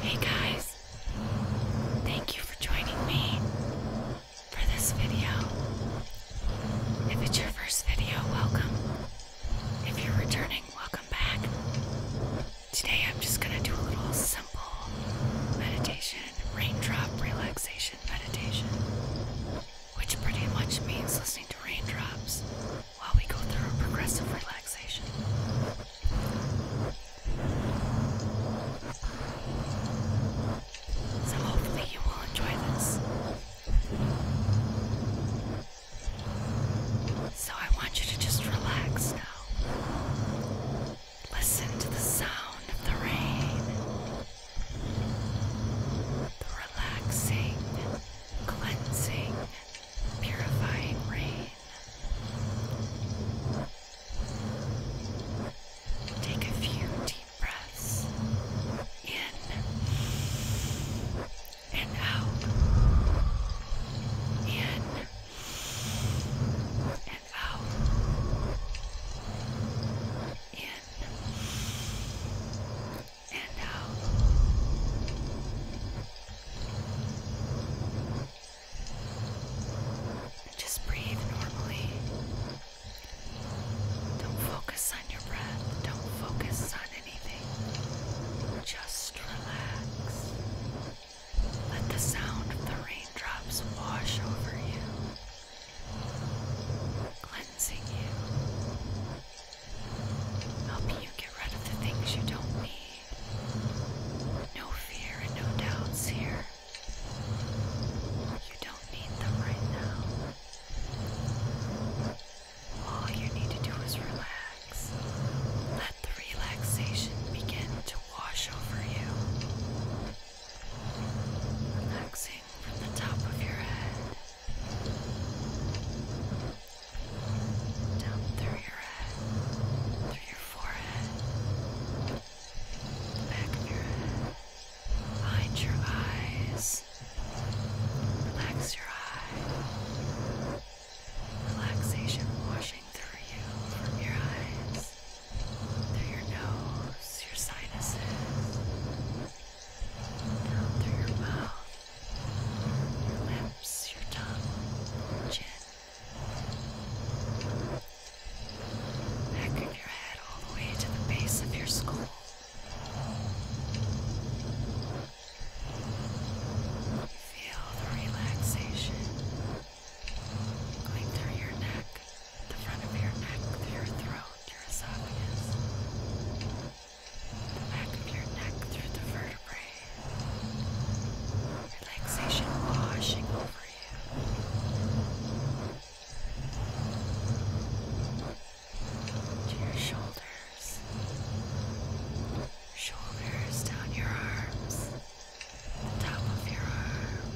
Hey guys, thank you for joining me for this video. If it's your first video, welcome. If you're returning, welcome back. Today I'm just gonna do a little simple meditation, raindrop relaxation meditation, which pretty much means listening to raindrops while we go through a progressive relaxation. So, hopefully, you will enjoy this. So, I want you to just relax now. Listen to the sound of the rain, the relaxing, cleansing, purifying rain. Take a few deep breaths in and out, in and out, in and out. Just breathe normally. Don't focus on your breath. Don't focus on anything. Just relax. Let the sound of the raindrops wash over you, cleansing you helping you get rid of the things you don't need. No fear and no doubts here. You don't need them right now. All you need to do is relax. Let the relaxation begin to wash over you. Relaxing from the top of your head down through your head, through your forehead, the back of your head, behind your eyes. Relax your eye. Relaxation washing through you from your eyes, through your nose, your sinuses, down through your mouth your lips, your tongue, chin, back of your head all the way to the base of your skull. You Feel the relaxation going through your neck, the front of your neck, through your throat, your esophagus. Back of your neck through the vertebrae. Relaxation washing over you. To your shoulders. Shoulders down your arms. The top of your arm.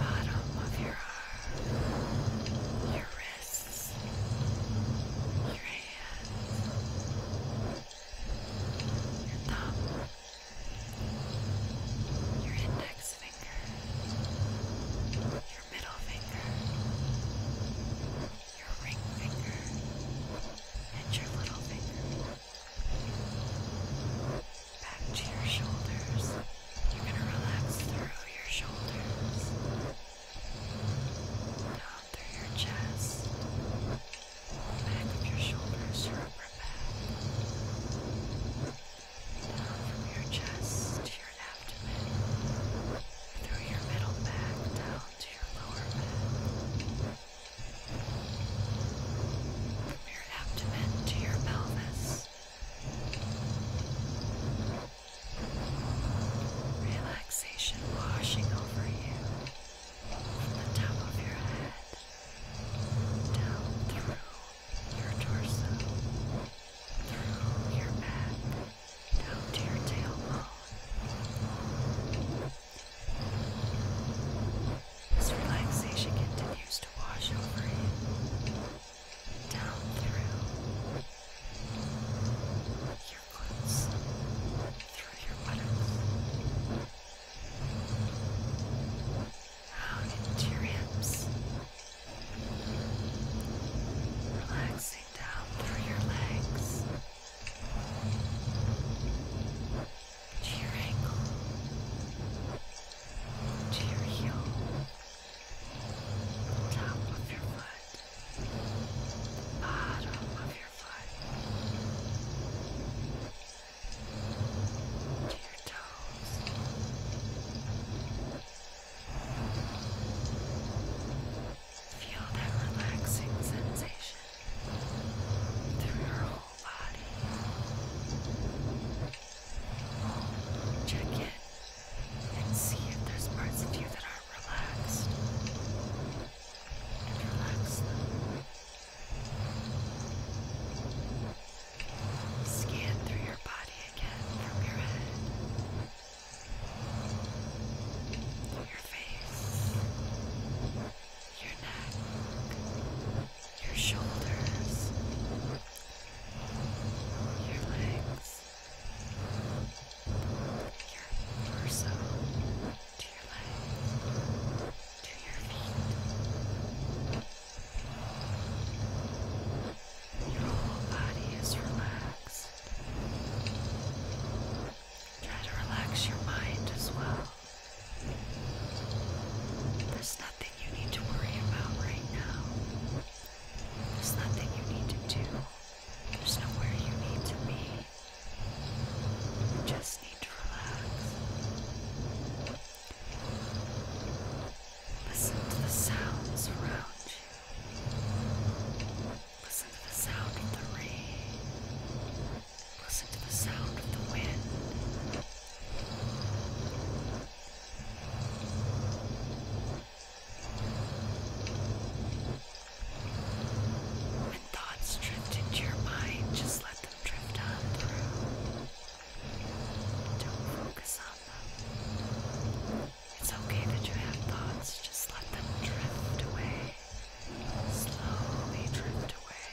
bottom of your arm. Your wrist wrists, your hands, your thumb, your index finger, your middle finger, your ring finger, and your little finger. Back to your shoulders. You're going to relax through your shoulders down through your chest, back of your shoulders, your upper back, down from your chest to your abdomen, through your middle back, down to your lower back. From your abdomen to your pelvis, Relaxation washing over you from the top of your head down through your torso, through your back, down to your tailbone. This relaxation continues to wash over you down through your glutes, through your buttocks, out into your hips, relaxing down through your legs, to your ankle, to your heel top of your foot, bottom of your foot, to your toes. Feel that relaxing sensation through your whole body. Check in and see if there's parts of you that aren't relaxed. And relax them. Scan through your body again from your head, your face, your neck, your shoulders, your legs your torso, to your legs, to your feet. Your whole body is relaxed. Try to relax your mind as well. There's nothing you need to worry about right now. There's nothing you need to do. There's nowhere you need to be. You just need to relax. Listen to the sounds around you. Listen to the sound of the rain. Listen to the sound of the wind. When thoughts drift into your mind, just let them drift on Don't focus on them. It's okay that you have thoughts, just let them drift away. Slowly drift away.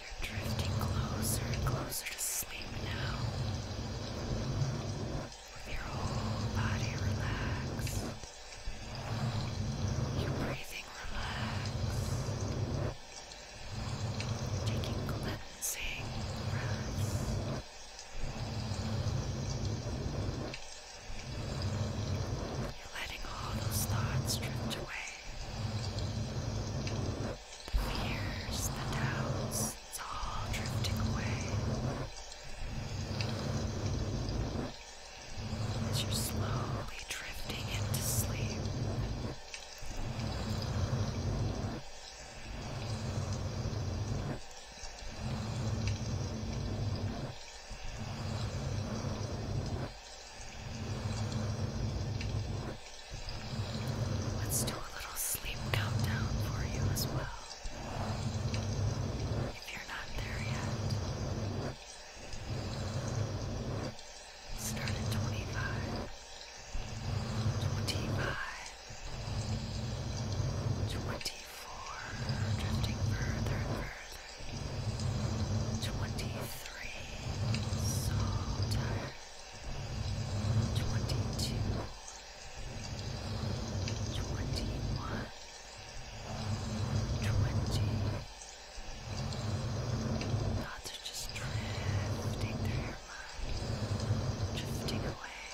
You're drifting closer and closer to sleep now. With your whole body relaxed. Your breathing relaxed. Taking cleansing breaths. Letting all those thoughts drift away. The fears, the doubts, it's all drifting away. As you're slowly drifting into sleep. Let's do a little sleep countdown for you as well. If you're not there yet, start at 25, 25, Twenty-four, drifting further and further. Twenty-three, so tired. Twenty-two, twenty-one, twenty. Thoughts are just drifting through your mind, drifting away.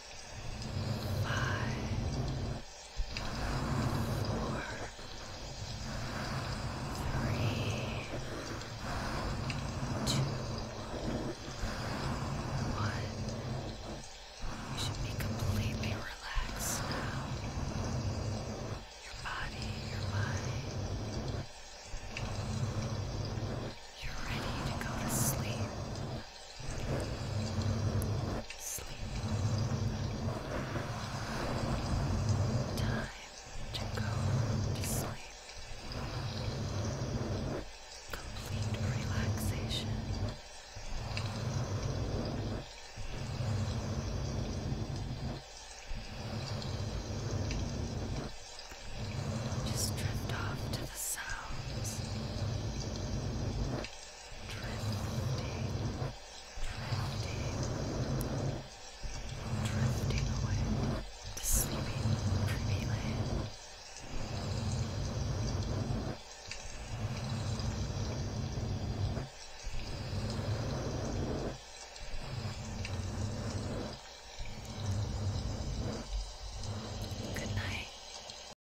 five, four, three, two, one. You should be completely relaxed now. Your body, your mind. You're ready to go to sleep. Sleep. Time to go to sleep. Complete relaxation. Just drift off to the sounds drifting, drifting away to sleepy, dreamy land. Good night.